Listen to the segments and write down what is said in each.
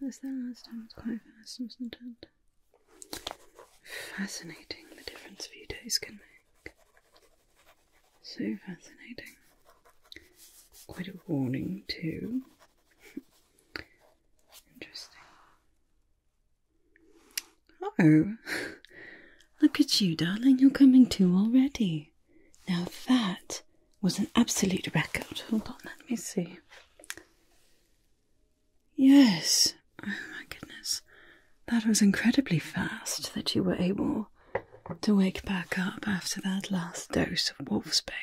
This then last time was quite fast, wasn't it? Fascinating the difference a few days can make. So fascinating. Quite a warning, too. Interesting. Oh, look at you, darling, you're coming to already. Now that was an absolute record. Hold on, let me see. Yes, oh my goodness, that was incredibly fast that you were able to wake back up after that last dose of wolfsbane.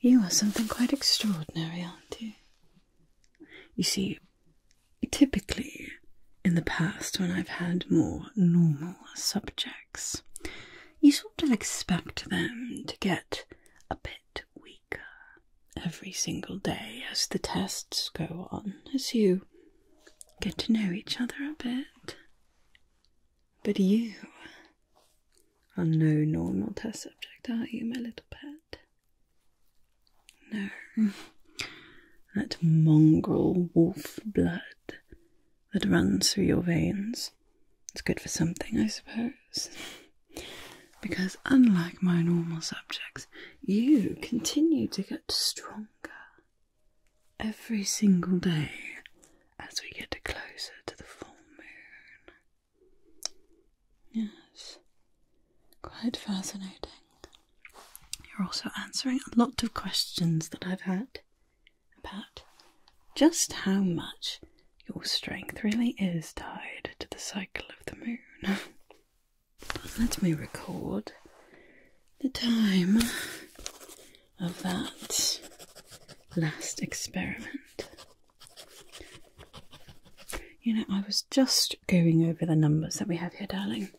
You are something quite extraordinary, aren't you? You see, typically in the past when I've had more normal subjects, you sort of expect them to get a bit weaker every single day as the tests go on, as you get to know each other a bit. But you are no normal test subject, are you, my little pet? No. That mongrel wolf blood that runs through your veins. It's good for something, I suppose. Because unlike my normal subjects, you continue to get stronger every single day as we get closer to the full moon. Yes, quite fascinating. You're also answering a lot of questions that I've had about just how much your strength really is tied to the cycle of the moon. Let me record the time of that last experiment. You know, I was just going over the numbers that we have here, darling.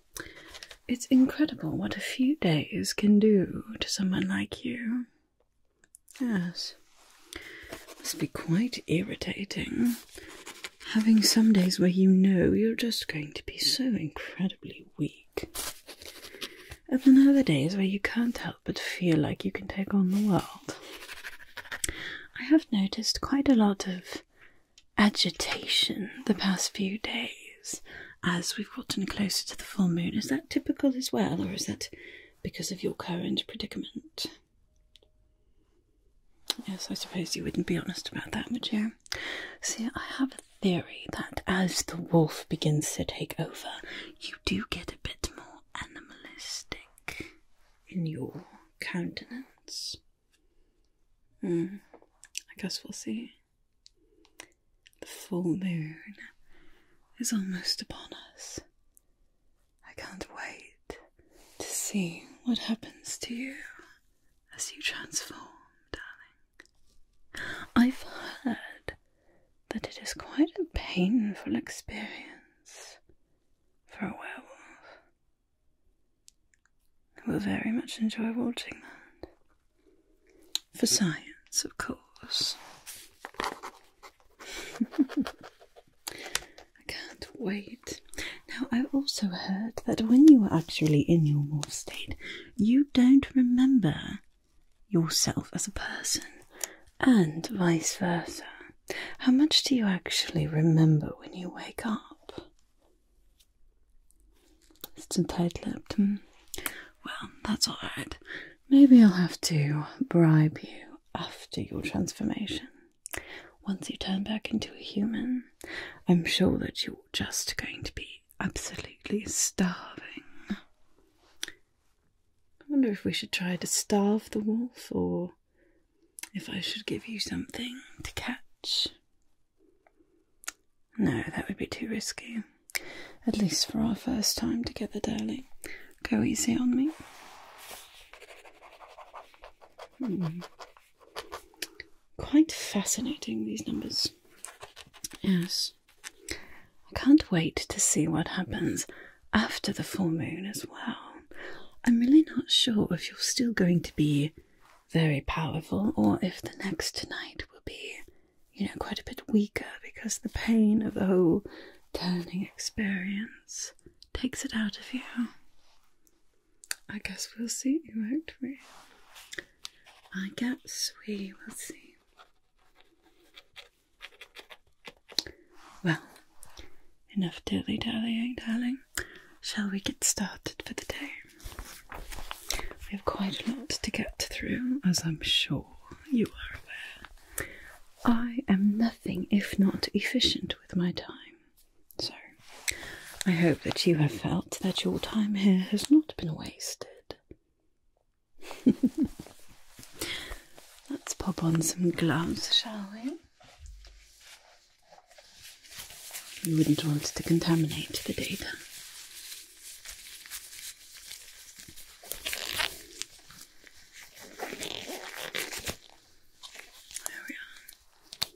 It's incredible what a few days can do to someone like you. Yes, must be quite irritating having some days where you know you're just going to be so incredibly weak, and then other days where you can't help but feel like you can take on the world. I have noticed quite a lot of agitation the past few days as we've gotten closer to the full moon. Is that typical as well, or is that because of your current predicament? Yes, I suppose you wouldn't be honest about that, would you? See, I have a theory that as the wolf begins to take over, you do get a bit more animalistic in your countenance. Hmm. I guess we'll see. The full moon is almost upon us. I can't wait to see what happens to you as you transform, darling. I've heard that it is quite a painful experience for a werewolf we will very much enjoy watching that. For science, of course. I can't wait. Now, I also heard that when you are actually in your morph state, you don't remember yourself as a person, and vice versa how much do you actually remember when you wake up? It's too tight lipped. Um, well, that's alright. Maybe I'll have to bribe you after your transformation. Once you turn back into a human, I'm sure that you're just going to be absolutely starving. I wonder if we should try to starve the wolf or if I should give you something to catch. No, that would be too risky. At least for our first time together, darling. Go easy on me. Hmm. Quite fascinating, these numbers. Yes. I can't wait to see what happens after the full moon as well. I'm really not sure if you're still going to be very powerful or if the next night will be, you know, quite a bit weaker because the pain of the whole turning experience takes it out of you. I guess we'll see, won't we? I guess we will see. Well, Enough dilly dallying, darling. Shall we get started for the day? We have quite a lot to get through, as I'm sure you are aware. I am nothing if not efficient with my time, so I hope that you have felt that your time here has not been wasted. Let's pop on some gloves, shall we? You wouldn't want to contaminate the data. There we are.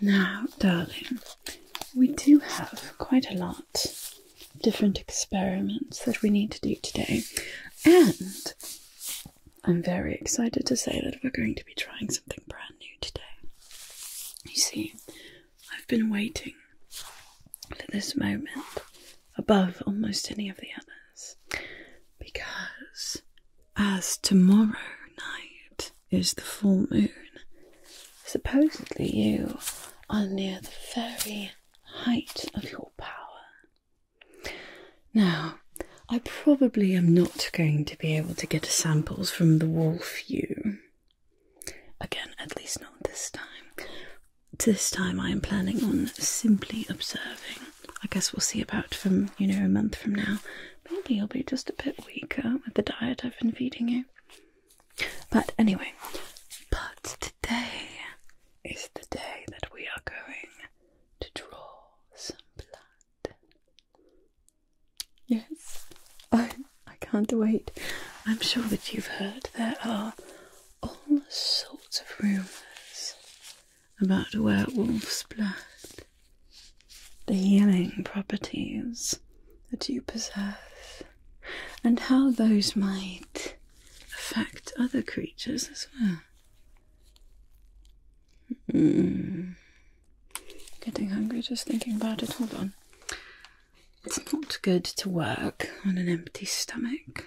Now, darling, we do have quite a lot of different experiments that we need to do today, and I'm very excited to say that we're going to be trying something brand new today. You see, I've been waiting for this moment above almost any of the others because as tomorrow night is the full moon, supposedly you are near the very height of your power. Now, I probably am not going to be able to get samples from the wolf you. Again, at least not this time this time I am planning on simply observing. I guess we'll see about from, you know, a month from now. Maybe you'll be just a bit weaker with the diet I've been feeding you. But anyway, but today is the day that we are going to draw some blood. Yes, I, I can't wait. I'm sure that you've heard there are all sorts of rumours about werewolf's blood, the healing properties that you possess, and how those might affect other creatures as well. Hmm. Getting hungry just thinking about it. Hold on. It's not good to work on an empty stomach.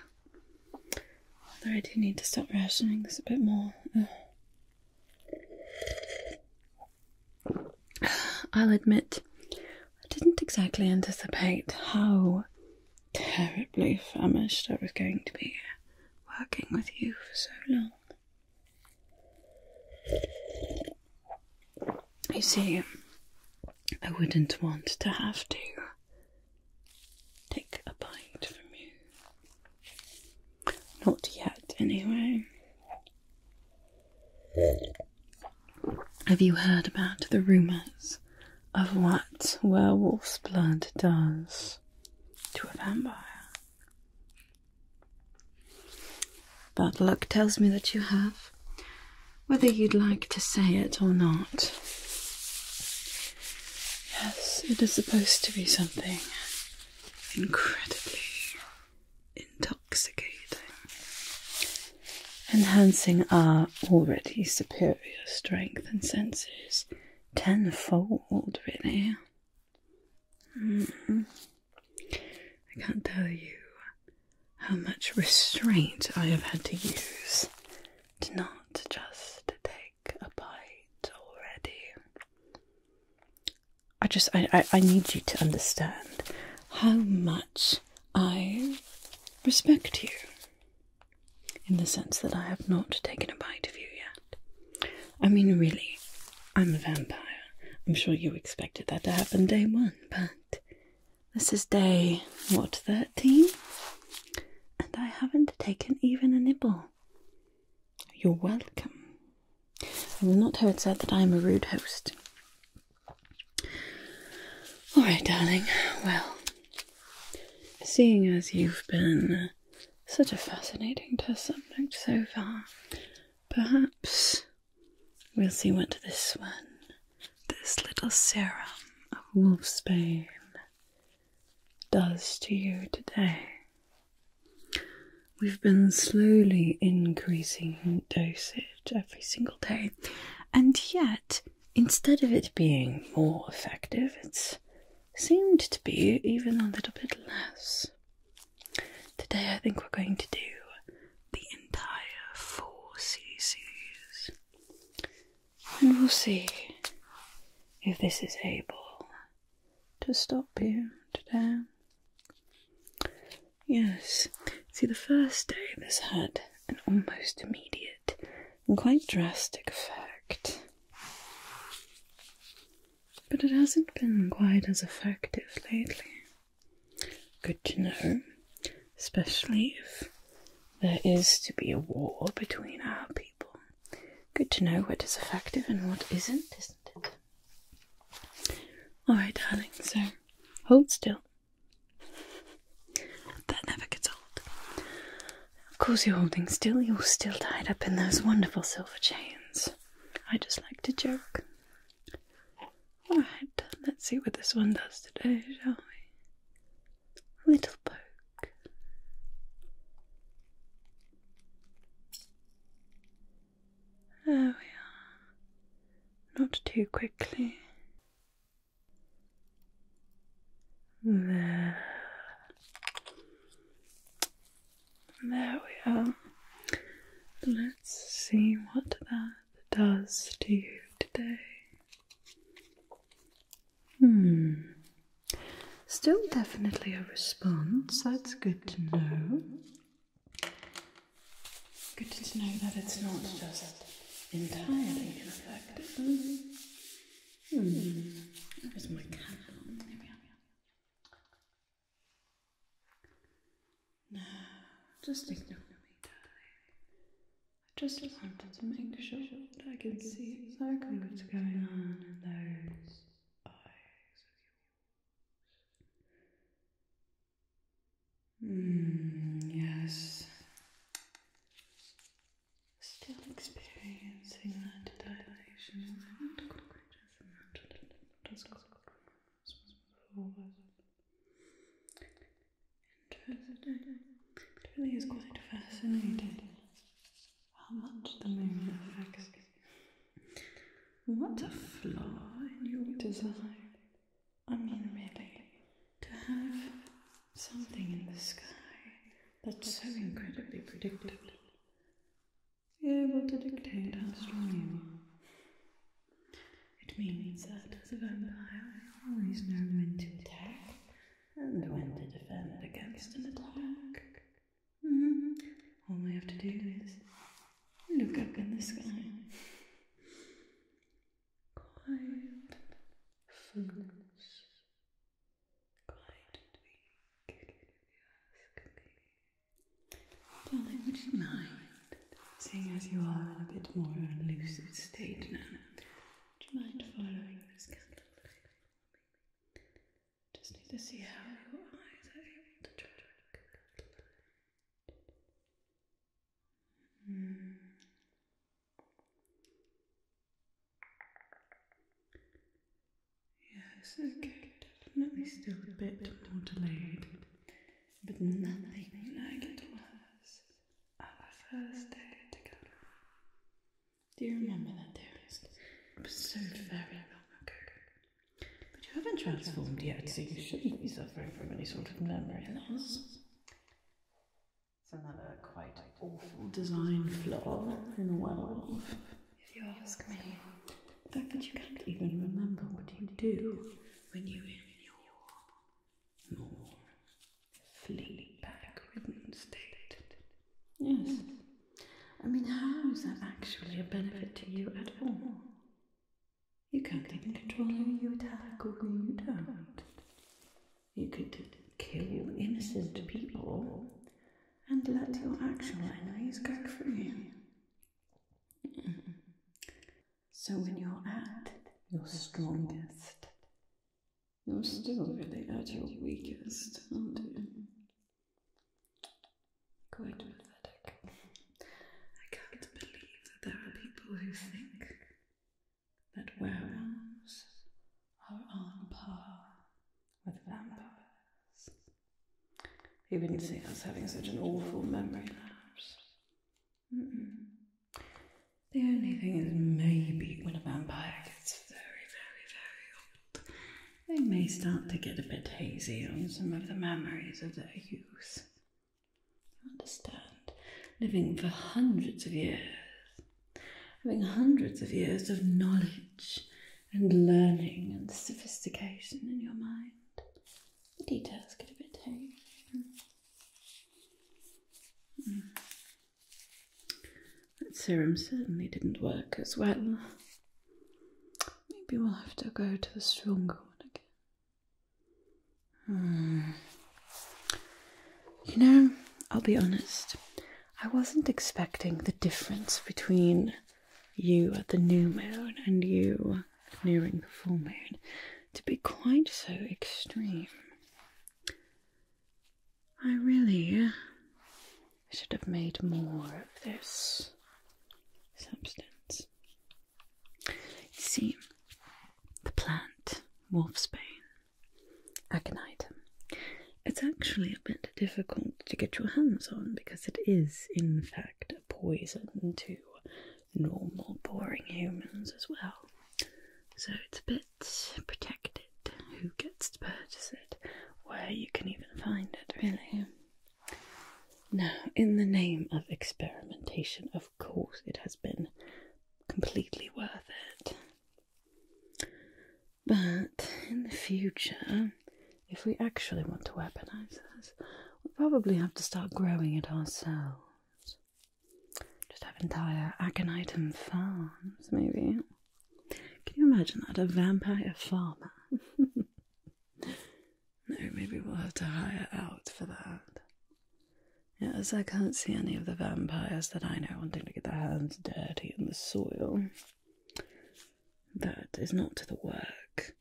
Although I do need to stop rationing this a bit more. I'll admit, I didn't exactly anticipate how terribly famished I was going to be working with you for so long. You see, I wouldn't want to have to take a bite from you. Not yet, anyway. Have you heard about the rumours of what werewolf's blood does to a vampire? Bad luck tells me that you have whether you'd like to say it or not. Yes, it is supposed to be something incredibly intoxicating, enhancing our already superior strength and senses tenfold, really. Mm-hmm. I can't tell you how much restraint I have had to use to not just take a bite already. I just, I, I, need you to understand how much I respect you in the sense that I have not taken a bite of you yet. I mean, really, I'm a vampire. I'm sure you expected that to happen day one, but this is day, what, 13? And I haven't taken even a nibble. You're welcome. I will not have it said that I am a rude host. Alright, darling, well, seeing as you've been such a fascinating test subject so far, perhaps we'll see what this one this little serum of wolfsbane does to you today. We've been slowly increasing dosage every single day, and yet, instead of it being more effective, it's seemed to be even a little bit less. Today, I think we're going to do the entire four cc's and we'll see if this is able to stop you today. Yes, see, the first day this had an almost immediate quite drastic effect, but it hasn't been quite as effective lately. Good to know especially if there is to be a war between our people. Good to know what is effective and what isn't, isn't it? Alright, darling, so hold still. That never gets old. Of course, you're holding still, you're still tied up in those wonderful silver chains. I just like to joke. Alright, let's see what this one does today, shall we? little poke. There we are. Not too quickly. There. There we are. Let's see what that does to you today. Hmm. Still definitely a response. That's good to know. Good to know that it's not just entirely ineffective. Hmm. Where's my candle? There we are. No, just ignore me, darling. I just wanted to make sure that I could see exactly what's going on in those eyes of hmm, yes. Still experiencing that dilation. Interesting. It really is quite fascinating how much the moon affects. What a flaw in your design. I mean, really, to have something in the sky that's so incredibly predictable. Be able to dictate how strong you are. It means that as a vampire, I always know when to attack and when to defend against an attack. Mm-hmm. All we have to do is look up in the sky. Quiet fullness. Quiet and weak. Darling, would you mind, seeing as you are in a bit more elusive state now, do you mind following this candle? Just need to see how your eyes are able to track. Mm. Yes, okay, definitely still a bit more delayed, but nothing like it was our first day together. Do you remember that, dearest? It was so very long ago. But you haven't transformed yet, so you shouldn't be suffering from any sort of memory loss. It's another quite awful design flaw in the world. If you ask me, the fact that you can't even remember what you do when you're in your more laid back Yes. I mean, how is that actually a benefit to you at all? You can't even control who you attack or you don't. You could kill innocent people and let your actual enemies go free. So when you're at your strongest, you're still really at your weakest, aren't you? I can't believe that there are people who think that werewolves are on par with vampires. He would us having such an awful memory lapse. Mm-hmm. The only thing is, maybe when a vampire gets very, very, very old, they may start to get a bit hazy on some of the memories of their youth. You understand? Living for hundreds of years, having hundreds of years of knowledge and learning and sophistication in your mind, the details get a bit hazy. Mm. That serum certainly didn't work as well. Maybe we'll have to go to the stronger one again. Hmm. You know, I'll be honest, I wasn't expecting the difference between you at the new moon and you nearing the full moon to be quite so extreme. I really should have made more of this substance. You see, the plant, wolfsbane, aconite, it's actually a bit difficult to get your hands on because it is, in fact, a poison too normal, boring humans as well. So it's a bit protected who gets to purchase it, where you can even find it, really. Now, in the name of experimentation, of course, it has been completely worth it. But in the future, if we actually want to weaponize this, we'll probably have to start growing it ourselves. Just have entire Aconitum farms, maybe. Can you imagine that? A vampire farmer? no, maybe we'll have to hire out for that. Yes, I can't see any of the vampires that I know wanting to get their hands dirty in the soil. That is not the work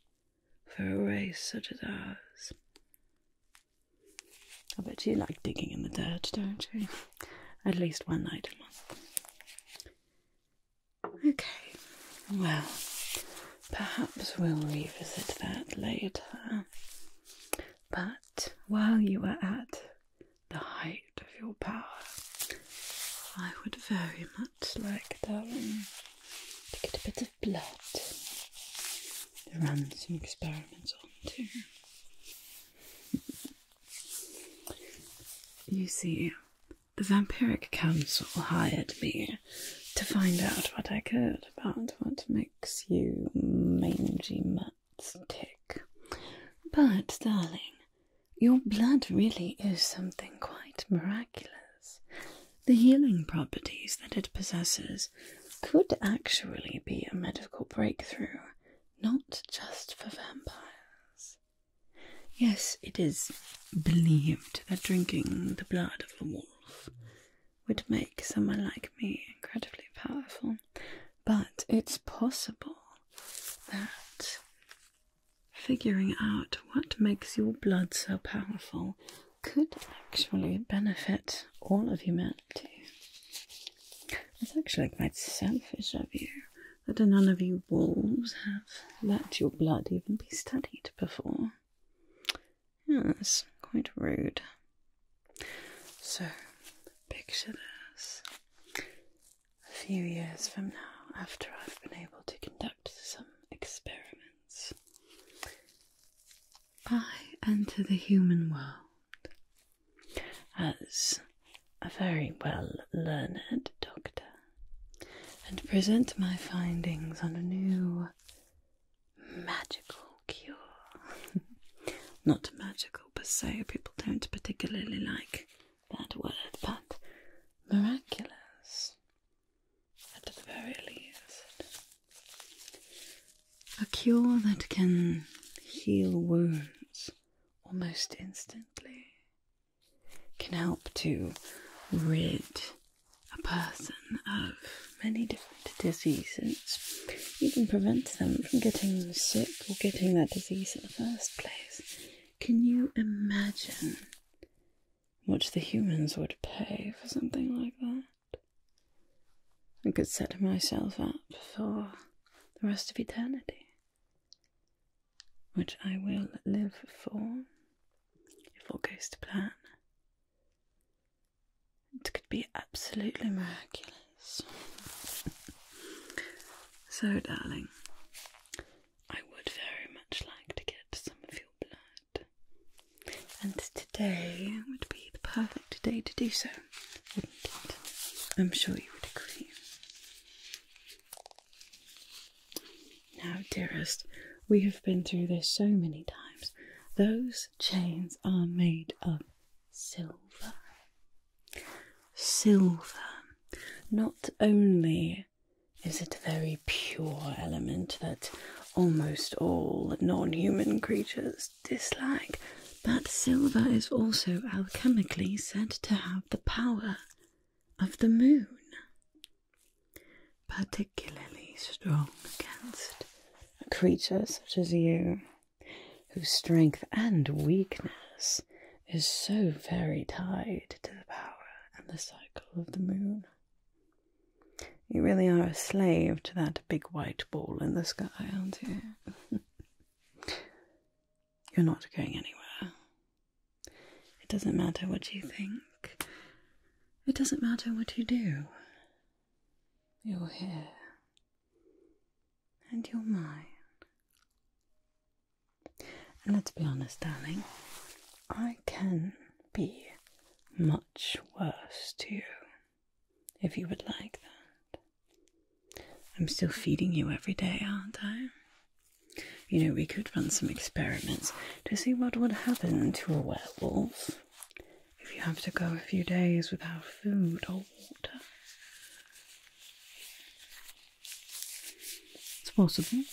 for a race such as ours. I bet you like digging in the dirt, don't you? At least one night a month. Okay, well, perhaps we'll revisit that later. But while you are at the height of your power, I would very much like, darling, to get a bit of blood they're running some experiments on too. You see, the Vampiric Council hired me to find out what I could about what makes you mangy mutts tick. But, darling, your blood really is something quite miraculous. The healing properties that it possesses could actually be a medical breakthrough, not just for vampires. Yes, it is believed that drinking the blood of a wolf would make someone like me incredibly powerful, but it's possible that figuring out what makes your blood so powerful could actually benefit all of humanity. That's actually quite selfish of you that none of you wolves have let your blood even be studied before. Yes, quite rude. So, picture this. A few years from now, after I've been able to conduct some experiments, I enter the human world as a very well learned doctor and present my findings on a new magical cure. Not magical but so people don't particularly like that word, but miraculous at the very least. A cure that can heal wounds almost instantly can help to rid a person of many different diseases, even prevent them from getting sick or getting that disease in the first place. Can you imagine what the humans would pay for something like that? I could set myself up for the rest of eternity, which I will live for if all goes to plan. It could be absolutely miraculous. so, darling, I would very much like to get some of your blood. And today would be the perfect day to do so, wouldn't it? I'm sure you would agree. Now, dearest, we have been through this so many times. Those chains are made of silver. Silver. Not only is it a very pure element that almost all non human creatures dislike, but silver is also alchemically said to have the power of the moon, particularly strong against a creature such as you, whose strength and weakness is so very tied to the power and the cycle of the moon. You really are a slave to that big white ball in the sky, aren't you? You're not going anywhere. It doesn't matter what you think, it doesn't matter what you do. You're here, and you're mine. And let's be honest, darling, I can be much worse to you if you would like that. I'm still feeding you every day, aren't I? You know, we could run some experiments to see what would happen to a werewolf if you have to go a few days without food or water. It's possible.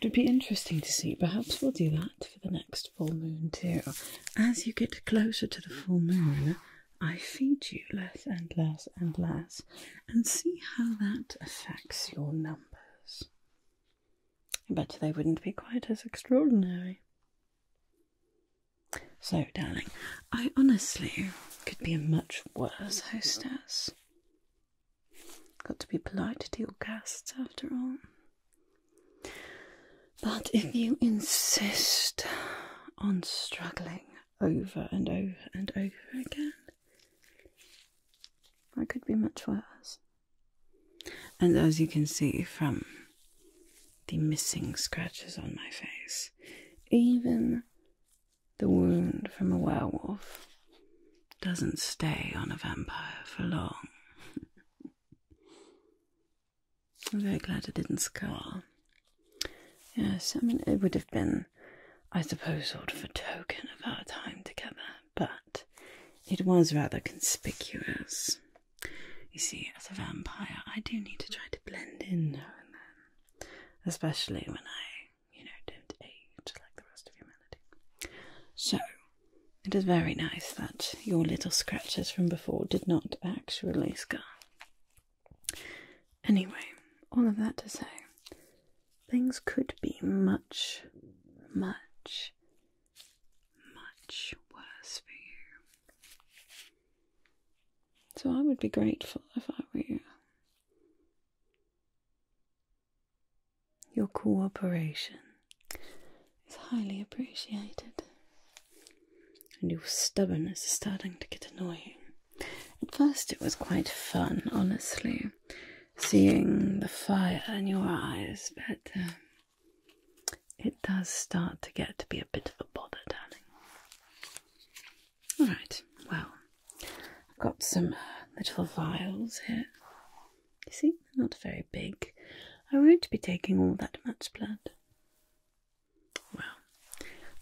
It would be interesting to see. Perhaps we'll do that for the next full moon, too. As you get closer to the full moon, I feed you less and less and less, and see how that affects your numbers. I bet they wouldn't be quite as extraordinary. So, darling, I honestly could be a much worse hostess. Got to be polite to your guests after all. But if you insist on struggling over and over and over again, I could be much worse. And as you can see from the missing scratches on my face, even the wound from a werewolf doesn't stay on a vampire for long. I'm very glad it didn't scar. Yes, I mean, it would have been, I suppose, sort of a token of our time together, but it was rather conspicuous. You see, as a vampire, I do need to try to blend in now and then, especially when I, you know, don't age like the rest of humanity. So, it is very nice that your little scratches from before did not actually scar. Anyway, all of that to say, things could be much, much, much worse for you. So I would be grateful if I were you. Your cooperation is highly appreciated, and your stubbornness is starting to get annoying. At first, it was quite fun, honestly, seeing the fire in your eyes, but um, it does start to get to be a bit of a bother, darling. Alright, well, I've got some little vials here. You see, not very big. I won't be taking all that much blood. Well,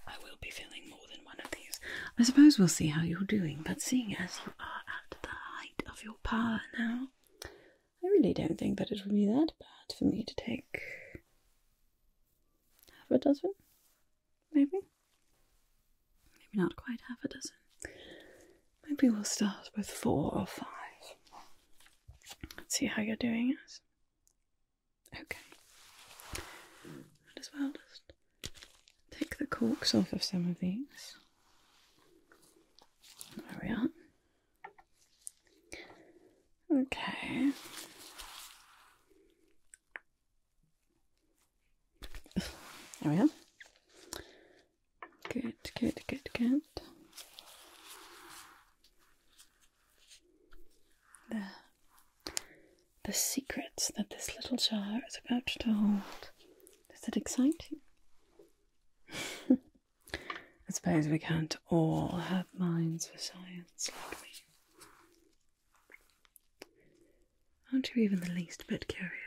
I will be filling more than one of these. I suppose we'll see how you're doing, but seeing as you are at the height of your power now, I really don't think that it would be that bad for me to take half a dozen, maybe? Maybe not quite half a dozen. Maybe we'll start with four or five. Let's see how you're doing it. Okay. Might as well just take the corks off of some of these. There we are. Okay. There we go. Good, good, good, good. There. The secrets that this little jar is about to hold. Does that excite you? I suppose we can't all have minds for science like me. Aren't you even the least bit curious?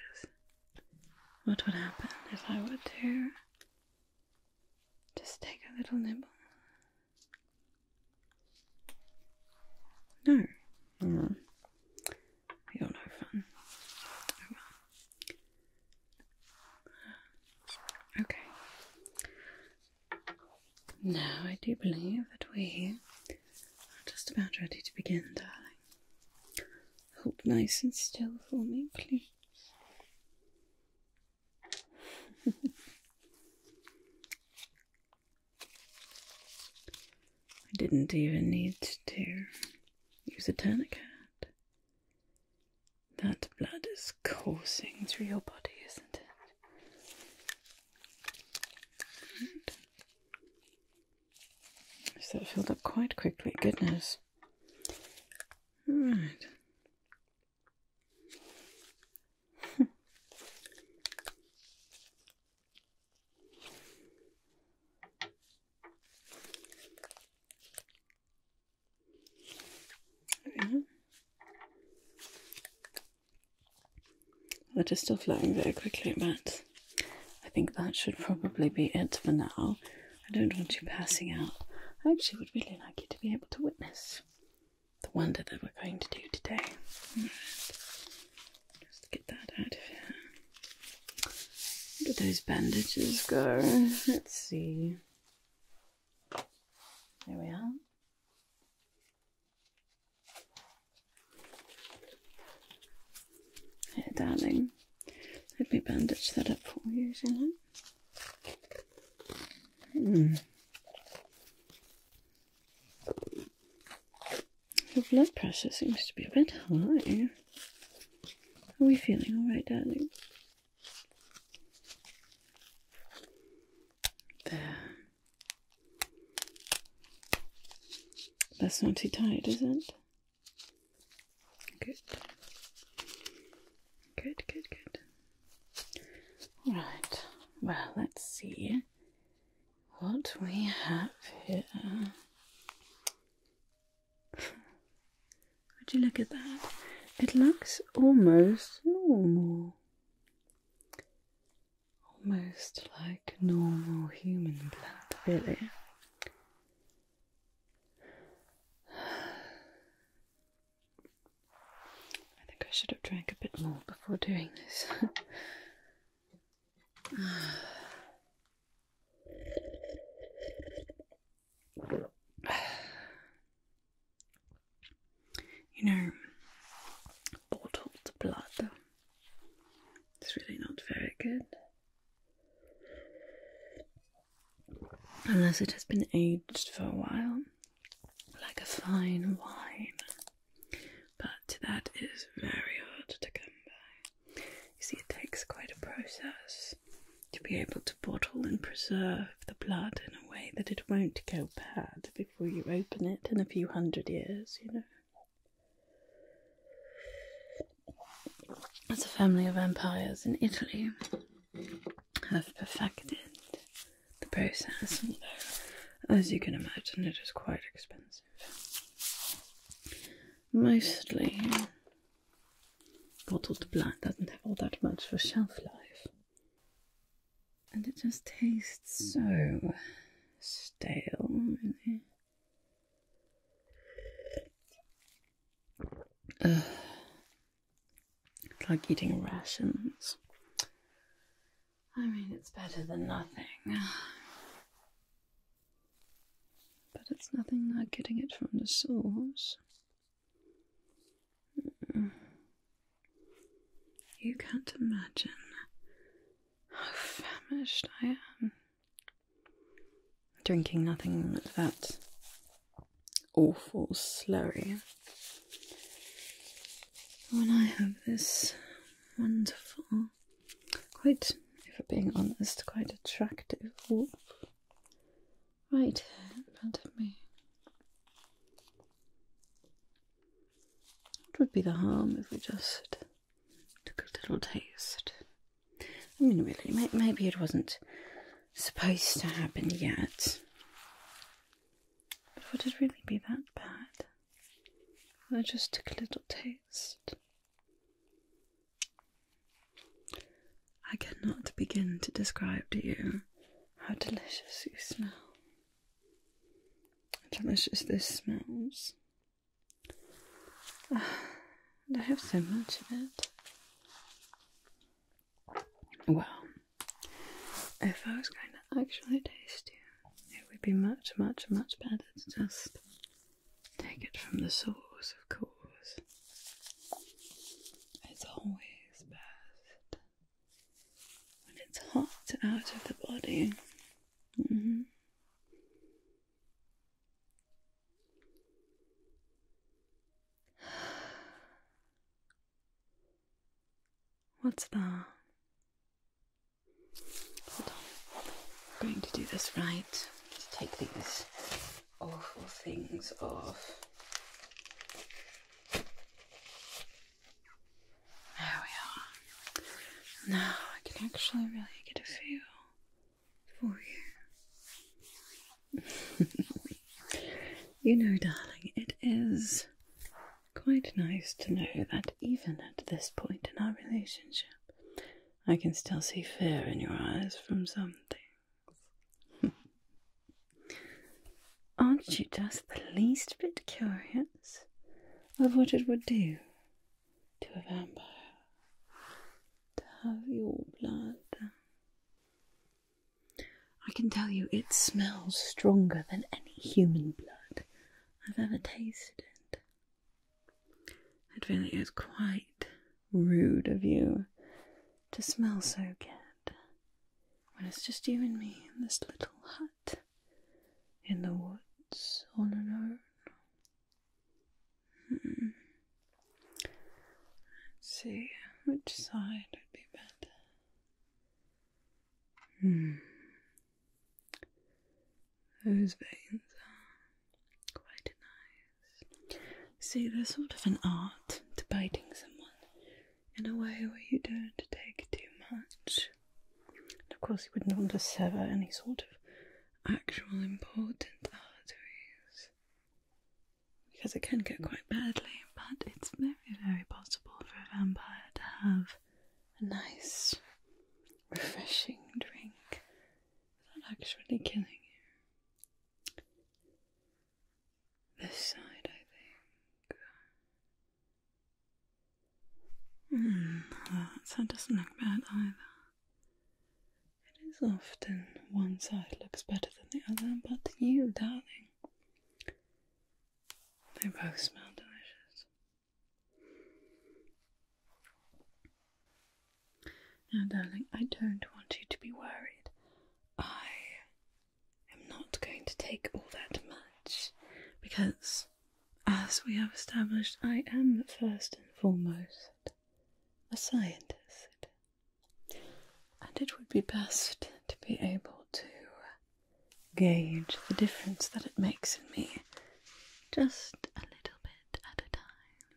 What would happen if I were to just take a little nibble? No. Mm. You're no fun. Okay. Now I do believe that we're just about ready to begin, darling. Hold nice and still for me, please. I didn't even need to use a tourniquet. That blood is coursing through your body, isn't it? Right. filled up quite quickly, goodness. Right. That is still flowing very quickly, but I think that should probably be it for now. I don't want you passing out. I actually would really like you to be able to witness the wonder that we're going to do today. just get that out Where do those bandages go? Let's see. There we are. Here, darling. Let me bandage that up for you, isn't it? Hmm. Your blood pressure seems to be a bit high. Are we feeling all right, darling? That's not too tight, is it? Good. Good, good, good. All right. Well, let's see what we have here. Would you look at that? It looks almost normal. Almost like normal human blood, really. I think I should have drank a bit more before doing this. you know, bottled blood. It's really not very good unless it has been aged for a while, like a fine wine. But that is very hard to come by. You see, it takes quite a process to be able to bottle and preserve the blood in a way that it won't go bad before you open it in a few hundred years, you know as a family of vampires in Italy have perfected the process, although, as you can imagine, it is quite expensive. Mostly, bottled blood doesn't have all that much of a shelf life, and it just tastes so stale, it's like eating rations. I mean, it's better than nothing. But it's nothing like getting it from the source. Mm. You can't imagine how famished I am drinking nothing but that awful slurry. When I have this wonderful, quite, if I'm being honest, quite attractive right in front of me. What would be the harm if we just took a little taste I mean, really, maybe it wasn't supposed to happen yet. But would it really be that bad? I just took a little taste. I cannot begin to describe to you how delicious you smell. delicious this smells. I have so much of it. Well, if I was going to actually taste you, it would be much, much, much better to just take it from the source, of course. It's always best when it's hot out of the body. Mm-hmm. What's that? Hold on. I'm going to do this right. Just take these awful things off. There we are. Now I can actually really get a feel for you. you know, darling, it is quite nice to know that even at this point in our relationship, I can still see fear in your eyes from something. Aren't you just the least bit curious of what it would do to a vampire to have your blood. I can tell you it smells stronger than any human blood I've ever tasted. It really is quite rude of you to smell so good when it's just you and me in this little hut in the woods on our own. Let's see which side would be better. Hmm. Those veins are quite nice. See, there's sort of an art to biting someone in a way where you don't take too much. of course, you wouldn't want to sever any sort of actual important arteries because it can get quite badly, but it's very, very possible for a vampire to have a nice, refreshing drink without actually killing you. This side, I think. Mm, that doesn't look bad either. It is often one side looks better than the other, but you, darling, they both smell delicious. Now, darling, I don't want you to be worried. I am not going to take all that much because, as we have established, I am first and foremost a scientist, and it would be best to be able to gauge the difference that it makes in me just a little bit at a time.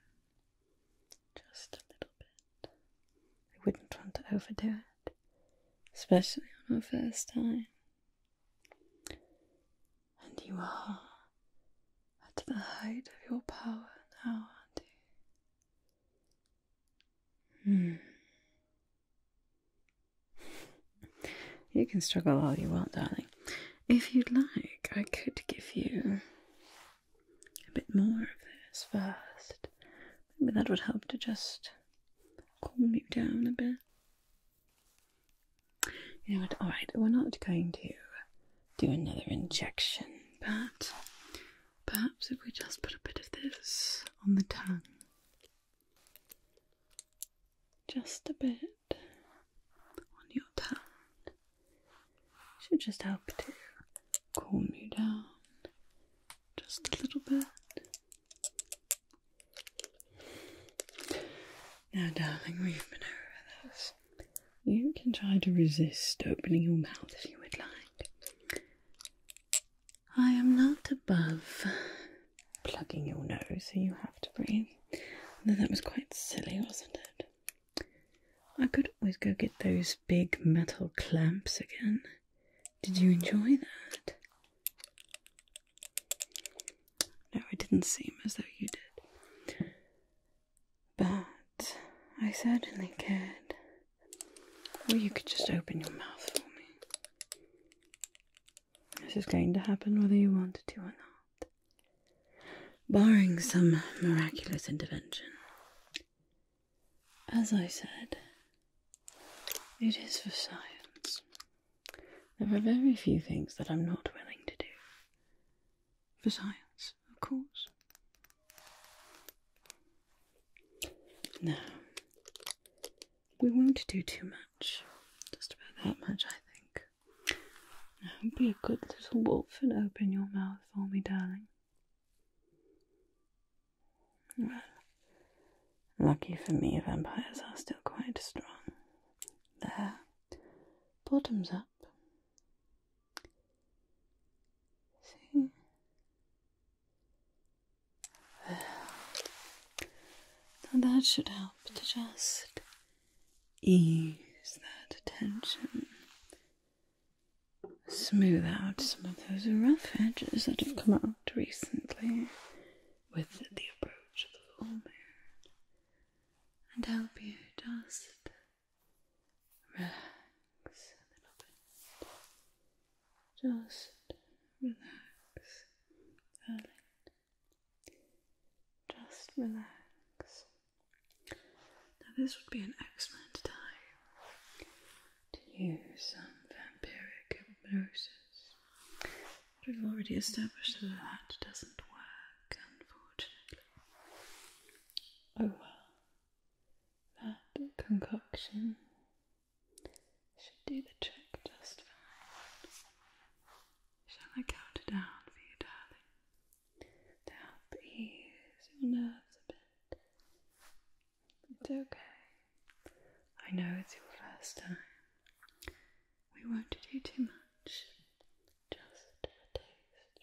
Just a little bit. I wouldn't want to overdo it, especially on our first time. And you are at the height of your power now, aren't you? Hmm. you can struggle all you want, darling. If you'd like, I could give you a bit more of this first. Maybe that would help to just calm you down a bit. You know Alright, we're not going to do another injection, but perhaps if we just put a bit of this on the tongue, just a bit on your tongue, should just help to calm you down just a little bit. Now, darling, we've been over this you can try to resist opening your mouth if you would like. I am not above plugging your nose so you have to breathe. that was quite silly, wasn't it? I could always go get those big metal clamps again. Did you enjoy that? No, it didn't seem as though you did. But I certainly could. Or you could just open your mouth for me. This is going to happen whether you want to or not. Barring some miraculous intervention. As I said, it is for science. There are very few things that I'm not willing to do for science, of course. Now, we won't do too much, just about that much, I think. be a good little wolf and open your mouth for me, darling. Well, lucky for me, vampires are still quite strong. There, bottoms up. See? Well, that should help to just ease that tension. Smooth out some of those rough edges that have come out recently with the approach of the full moon and help you just relax a little bit. Just relax, Just relax. Now, this would be an excellent time to use some vampiric hypnosis. But we've already established that that doesn't work, unfortunately. Oh, well, that concoction should do the trick just fine. Shall I count it down for you, darling? To help ease your nerves a bit. It's okay. I know it's your first time. We won't do too much. Just a taste, really. Ten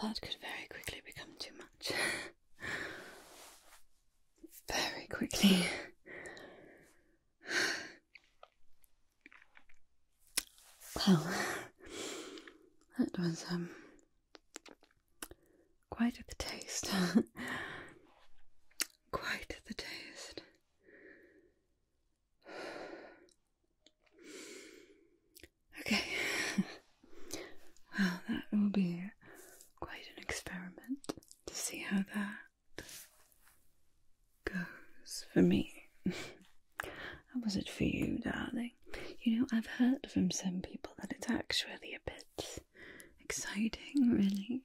that could very quickly become too much. very quickly. well, that was, um, Quite the taste. Quite the taste. Okay. well, that will be quite an experiment to see how that goes for me. How was it for you, darling? You know, I've heard from some people that it's actually a bit bit exciting, really.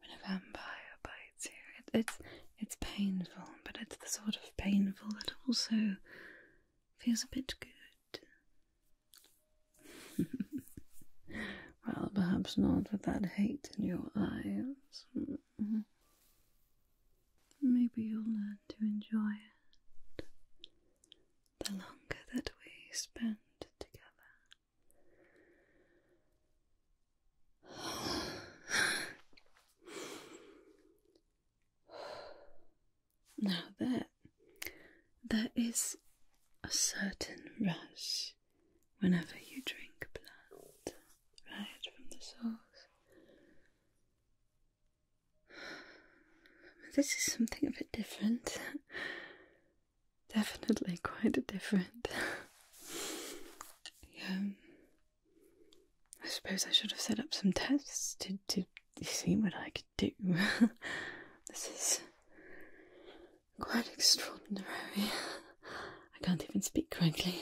When a vampire bites you, it's it's painful, but it's the sort of painful that also feels a bit good. well, perhaps not with that hate in your eyes. Mm-hmm. Maybe you'll learn to enjoy it the longer that we spend together. now that there is a certain rush whenever you drink blood right from the source. This is something a bit different definitely quite different. yeah. I suppose I should have set up some tests to, to see what I could do. this is quite extraordinary. I can't even speak correctly.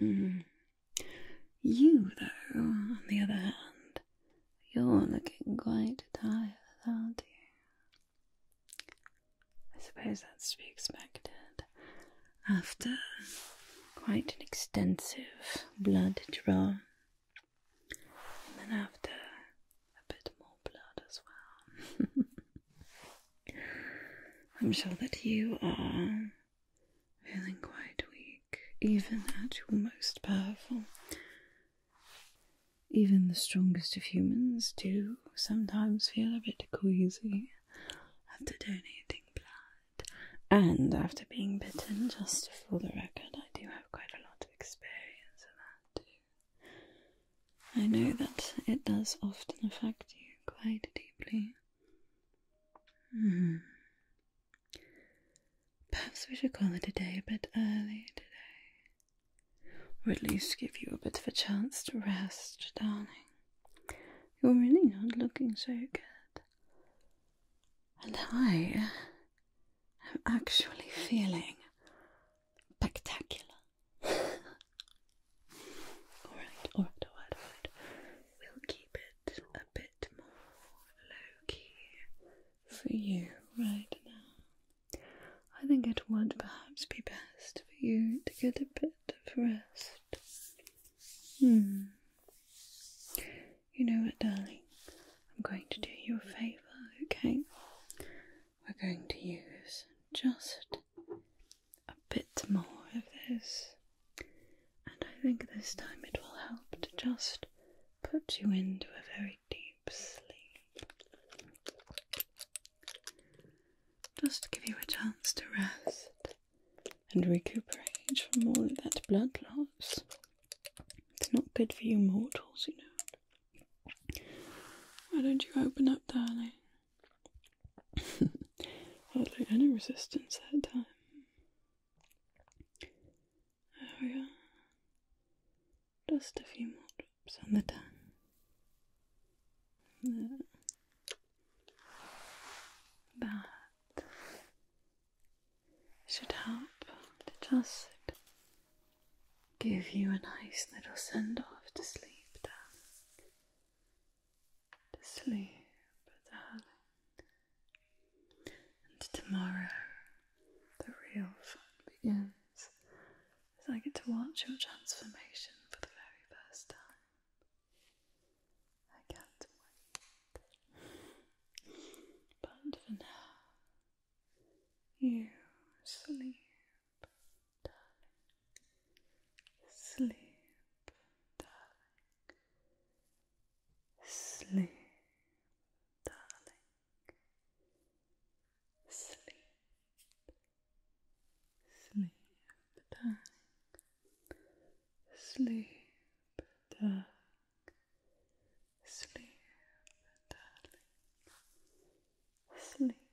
Mm-hmm. You, though, on the other hand, you're looking quite tired, aren't you? I suppose that's to be expected after quite an extensive blood draw, and then after a bit more blood as well. I'm sure that you are feeling quite weak, even at your most powerful. Even the strongest of humans do sometimes feel a bit queasy after donating blood and after being bitten. Just for the record, I do have quite a lot of experience of that too. I know that it does often affect you quite deeply. Hmm. Perhaps we should call it a day a bit early today. Or at least give you a bit of a chance to rest, darling. You're really not looking so good. And I am actually feeling spectacular. alright, alright, alright, alright. We'll keep it a bit more low key for you right now. I think it would perhaps be best for you to get a bit of rest. Hmm. You know what, darling? I'm going to do you a favour, okay? We're going to use just a bit more of this and I think this time it will help to just put you into a very deep sleep. Just to give you a chance to rest and recuperate from all of that blood loss. It's not good for you mortals, you know. Why don't you open up, darling? Hardly any resistance that time. Oh yeah. Just a few more drops on the tongue. That should help to just give you a nice little send off to sleep, darling. To sleep, darling. And tomorrow, the real fun begins as I get to watch your transformation for the very first time. I can't wait. But for now, you sleep, darling. Sleep, darling. Sleep, darling. Sleep, sleep, darling. Sleep, darling. Sleep, darling. Sleep.